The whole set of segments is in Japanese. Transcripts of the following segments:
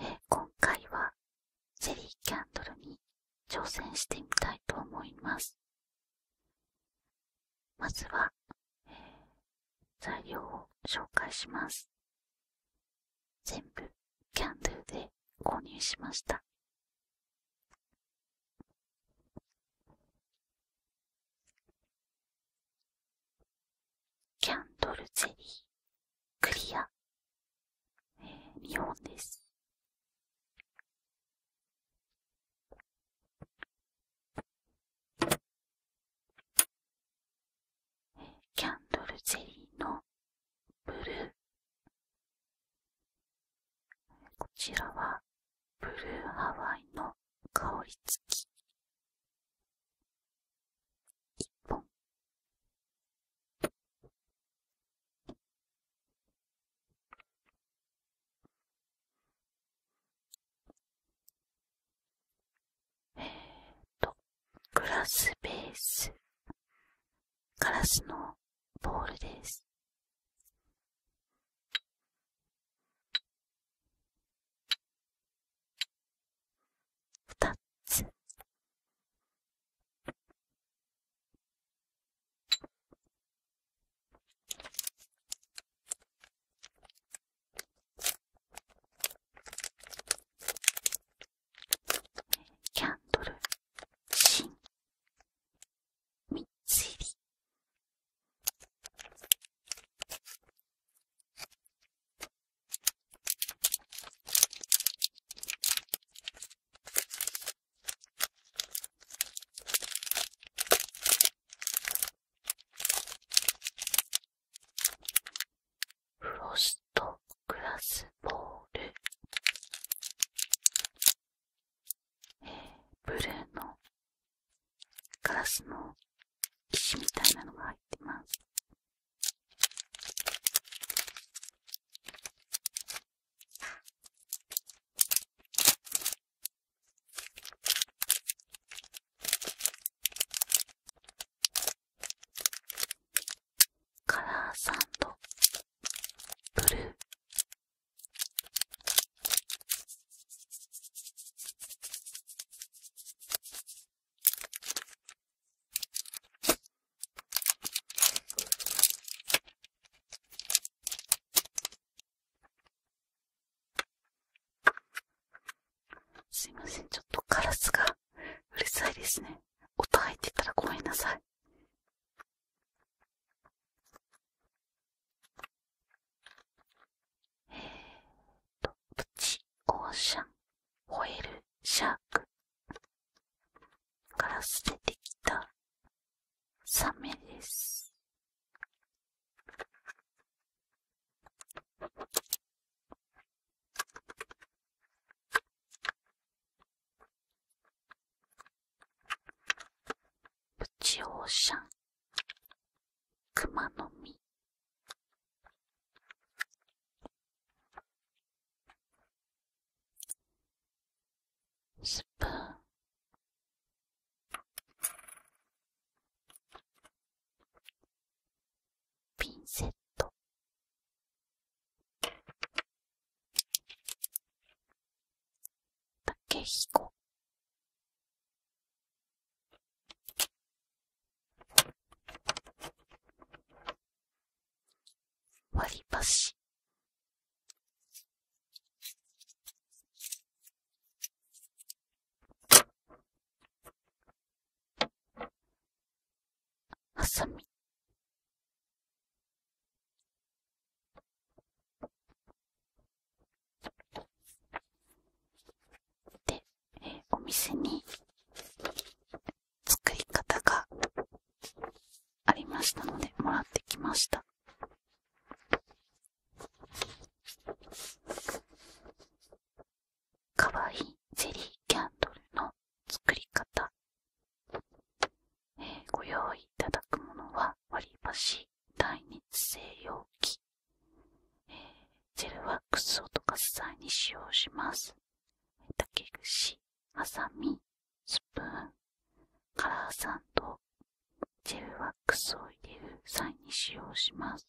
え今回はゼリーキャンドルに挑戦してみたいと思います。まずは、え材料を紹介します。全部キャンドルで購入しました。キャンドルゼリークリア、えー、日本です。えキャンドルゼリーのブルー。こちらはブルーハワイの香り付き一本えーとグラスベースガラスのボールです二つ。キャンドル、芯みっちり。フロストグラスボール、えブルーのガラスの石みたいなのが入ってます。カラーサンドブルーすいません、ちょっとカラスがうるさいですね。音入ってたらごめんなさい。えーと、プチオーシャンホエルシャークから捨ててきたサメです。プチオーシャン熊の実スプーンピンセット竹ひこ割り箸はさみで、えー、お店に作り方がありましたのでもらってきましたかわいいゼリーキャンドルの作り方、えー、ご用意いただくものは割り箸耐熱性容器、えー、ジェルワックスを溶かす際に使用します竹串、ハサミ、スプーン、カラーサンド、ジェルワックスを入れる際に使用します。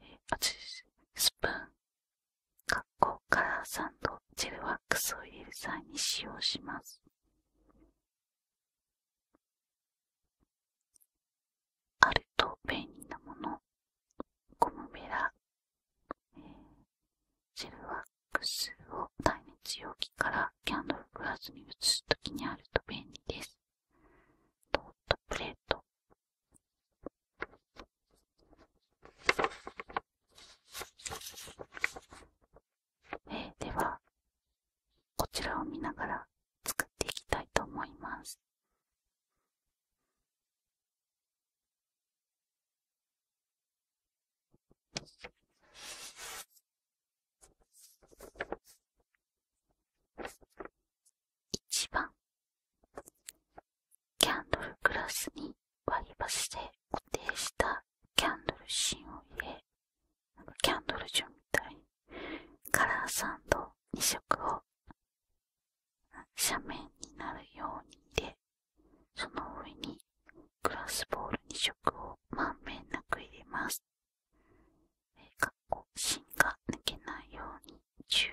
えあスプーン、かっこカラーサンド、ジェルワックスを入れる際に使用します。あると便利なものゴムベラ、えー、ジェルワックスを耐熱容器からキャンドルプラスに移すときにあると便利ですトートプレートえー、ではこちらを見ながら作っていきたいと思います1番キャンドルグラスに割り箸で固定したキャンドル芯を入れなんかキャンドルジュンみたいカラーサンド2色を斜面になるように入れその上にグラスボール2色をまんべんなく入れます。えかっこ芯が抜けないように注意。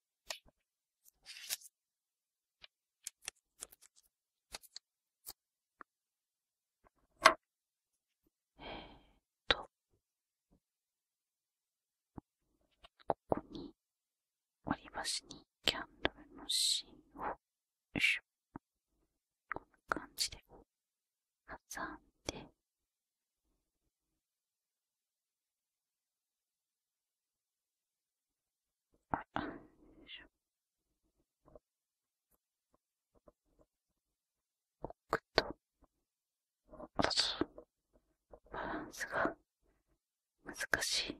えー、とここに割り箸にキャンドルの芯をよいしょこんな感じで挟んで奥と、あと、バランスが難しい。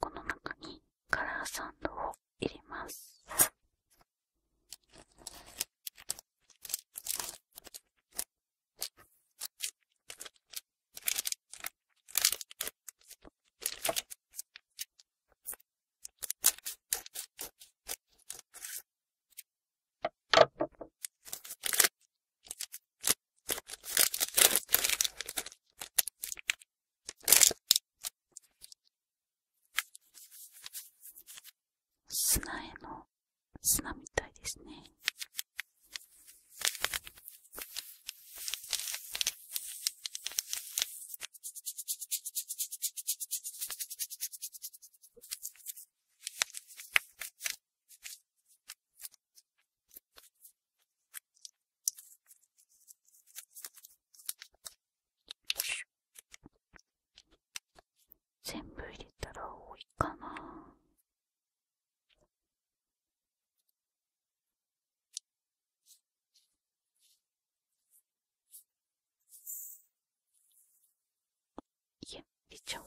この中にカラーサンドを入れます。砂への砂みたいですね。よし。全部入れたら多いかない入出ちゃおう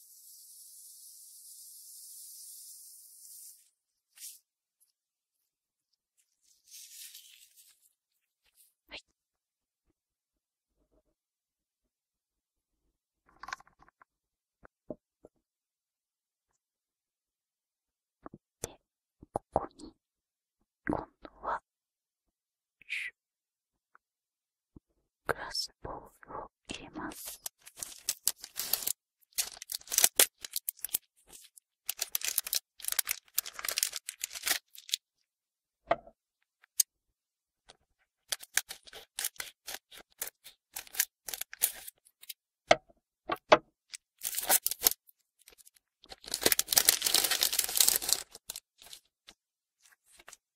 はい。で、ここに、今度は、グラスボールをを入れます。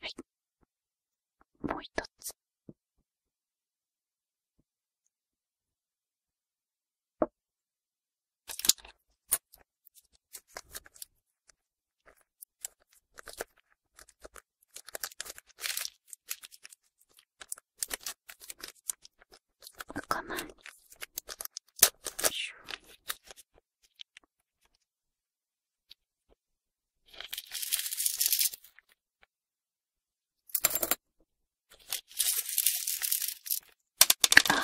はい。もう一つ。ここああ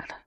あら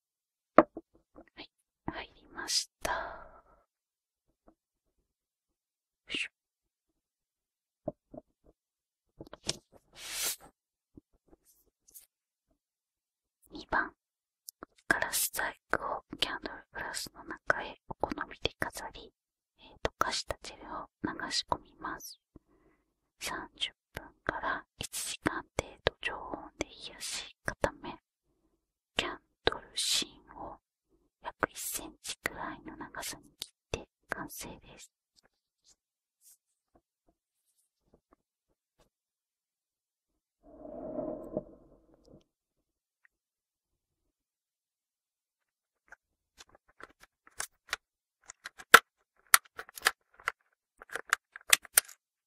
はい、入りました。よいしょ。2番、ガラス細工をキャンドルグラスの中へお好みで飾り、溶かしたジェルを流し込みます。30分から1時間程度常温で冷やし固め、キャンドル芯を約1センチくらいの長さに切って完成です。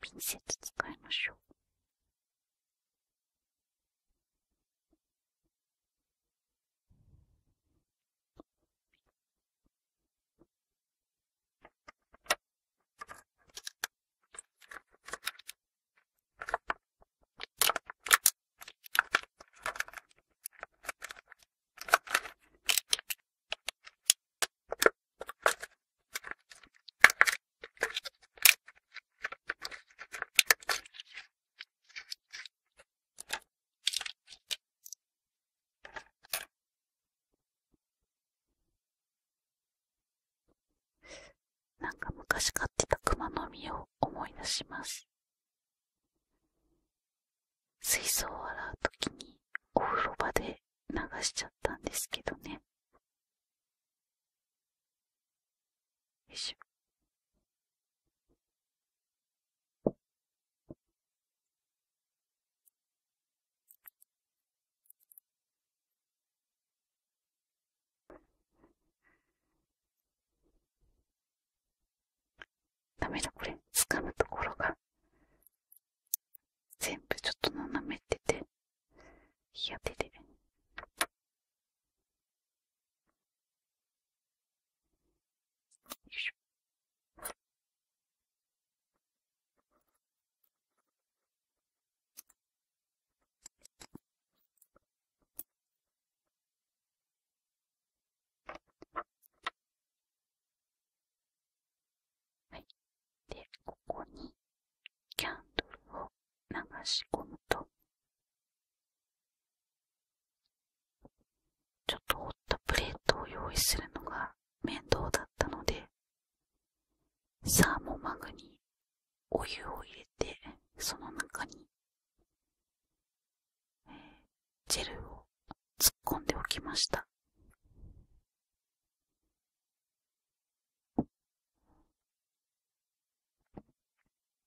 ピンセット使いましょう。なんか昔飼ってた熊の実を思い出します。水槽を洗う時にお風呂場で流しちゃったんですけどねよいしょダメだこれ掴むところが全部ちょっと斜めってていや手でよいしょはい。で、ここにキャンドルを流し込むと、ちょっと折ったプレートを用意するのが面倒だったので、サーモマグにお湯を入れて、その中にジェルを突っ込んでおきました。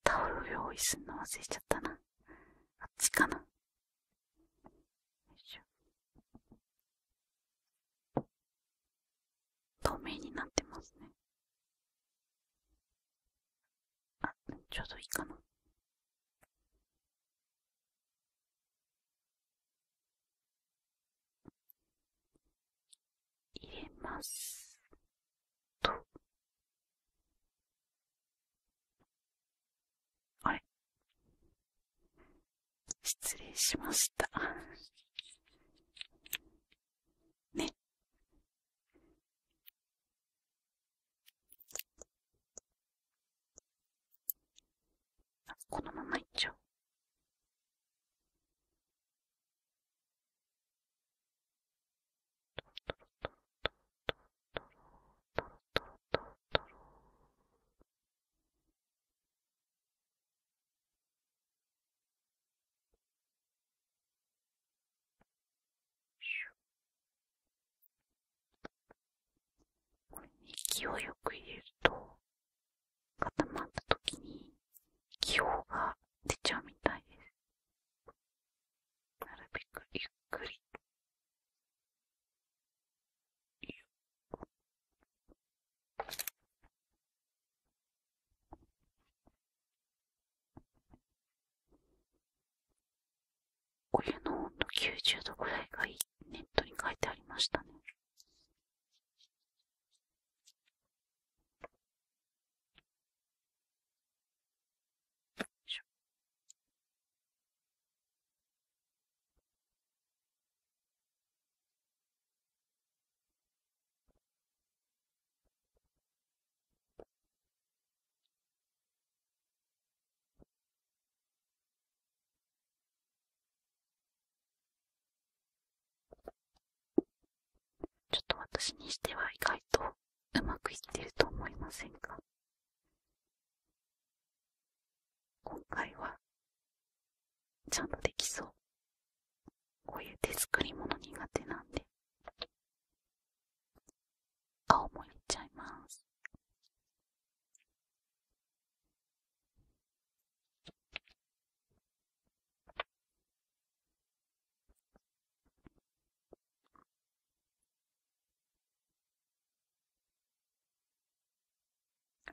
タオル用意するの忘れちゃったな。あっちかな。透明になってますね。あ、ちょうどいいかな。入れます。と。あれ失礼しました。ね。このままいっちゃう。これに勢いよく入れると固まった時に気泡が出ちゃうみたいですなるべくゆっくりお湯の温度90度ぐらいがいいネットに書いてありましたね。よいしょ。ちょっと私にしては意外とうまくいってると思いませんか今回はちゃんとできそう。こういう手作りもの苦手なんで。顔もいっちゃいます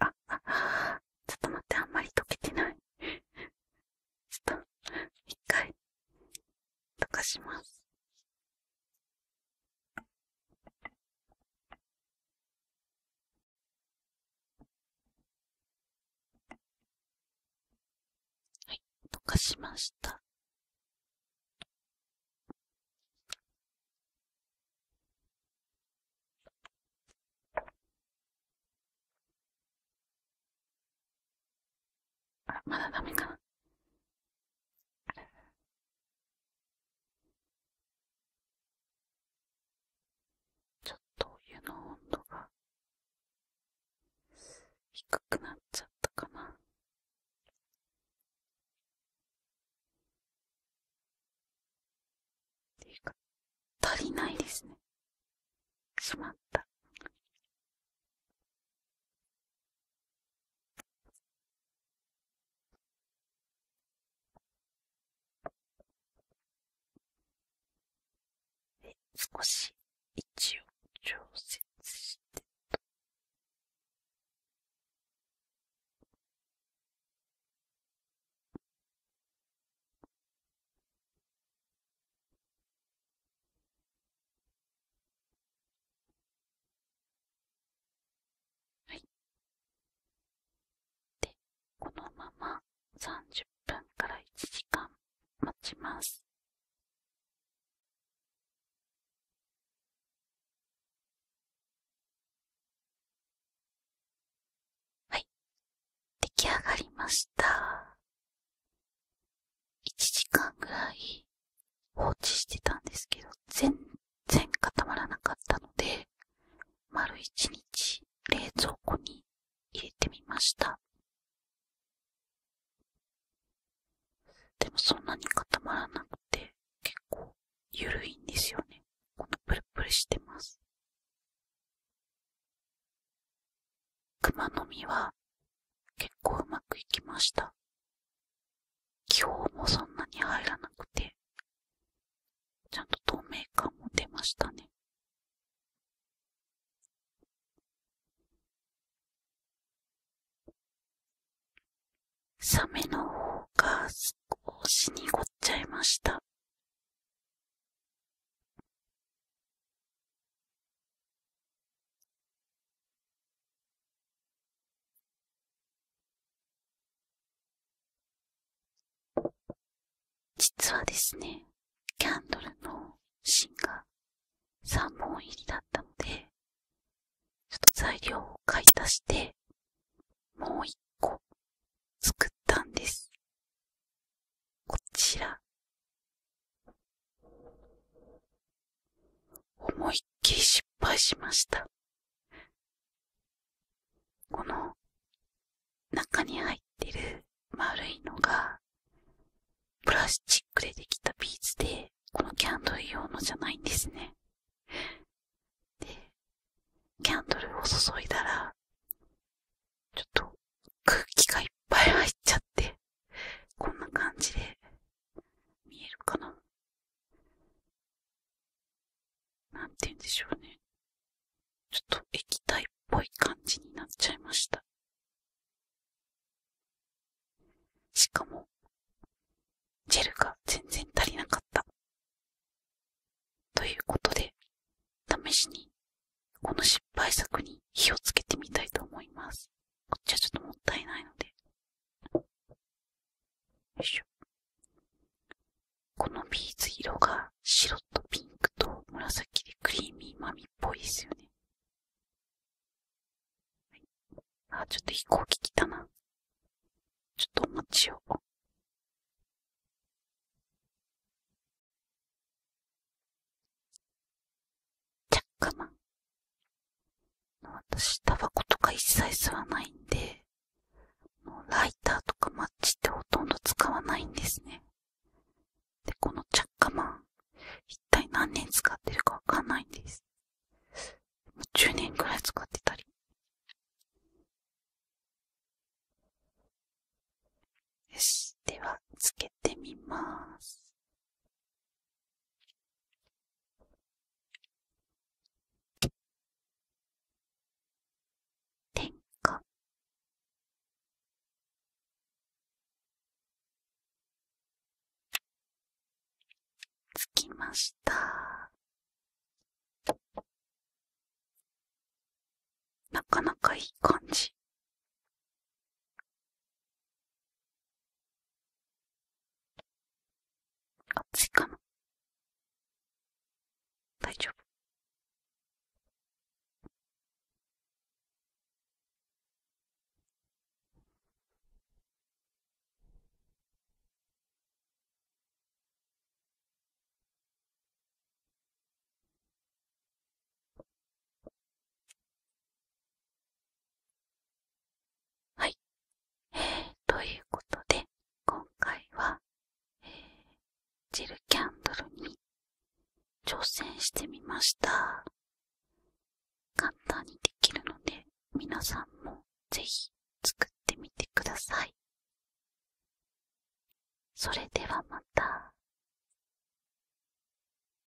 ああちょっと待ってあんまり溶けてない ちょっと一回溶かしますはい、溶かしました。あら、まだダメかな。ちょっとお湯の温度が低くなっちゃったかな。っていうか、足りないですね。しまった。で少し位置を調節してはい。で、このまま30分から1時間待ちます。はい。出来上がりました。1時間ぐらい放置してたんですけど、全然固まらなかったので、丸1日冷蔵庫に入れてみました。でもそんなに固まらなくて、結構緩いんですよね。このプルプルしてます。熊の実は結構うまくいきました。気泡もそんなに入らなくて、ちゃんと透明感も出ましたね。サメの方が少し濁っちゃいました。実はですね、キャンドルの芯が3本入りだったので、ちょっと材料を買い足して、もう1個作ったんです。こちら。思いっきり失敗しました。この中に入ってる丸いのがプラスチックでできたビーズでこのキャンドル用のじゃないんですね。で、キャンドルを注いだらちょっと空気がいっぱい入っちゃってこんな感じで見えるかななんて言うんでしょうね。ちょっと液体っぽい感じになっちゃいました。しかも、ジェルが全然足りなかった。ということで、試しに、この失敗作に火をつけてみたいと思います。こっちはちょっともったいないので。よいしょ。このビーズ色が白とピンクと紫でクリーミーマミっぽいですよね。はい、あ、ちょっと飛行機来たな。ちょっとお待ちを。チャッカマン。私、タバコとか一切吸わないんで、ライターとかマッチってほとんど使わないんですね。で、このチャッカマン、一体何年使ってるかわかんないんです。もう10年くらい使ってたり。よし。では、つけけてます。点火つきました。なかなかいい感じ。熱いかな大丈夫。はい。えー、ということで、今回は、えジェルキャンドルに挑戦してみました。簡単にできるので、皆さんも是非作ってみてください。それではまた。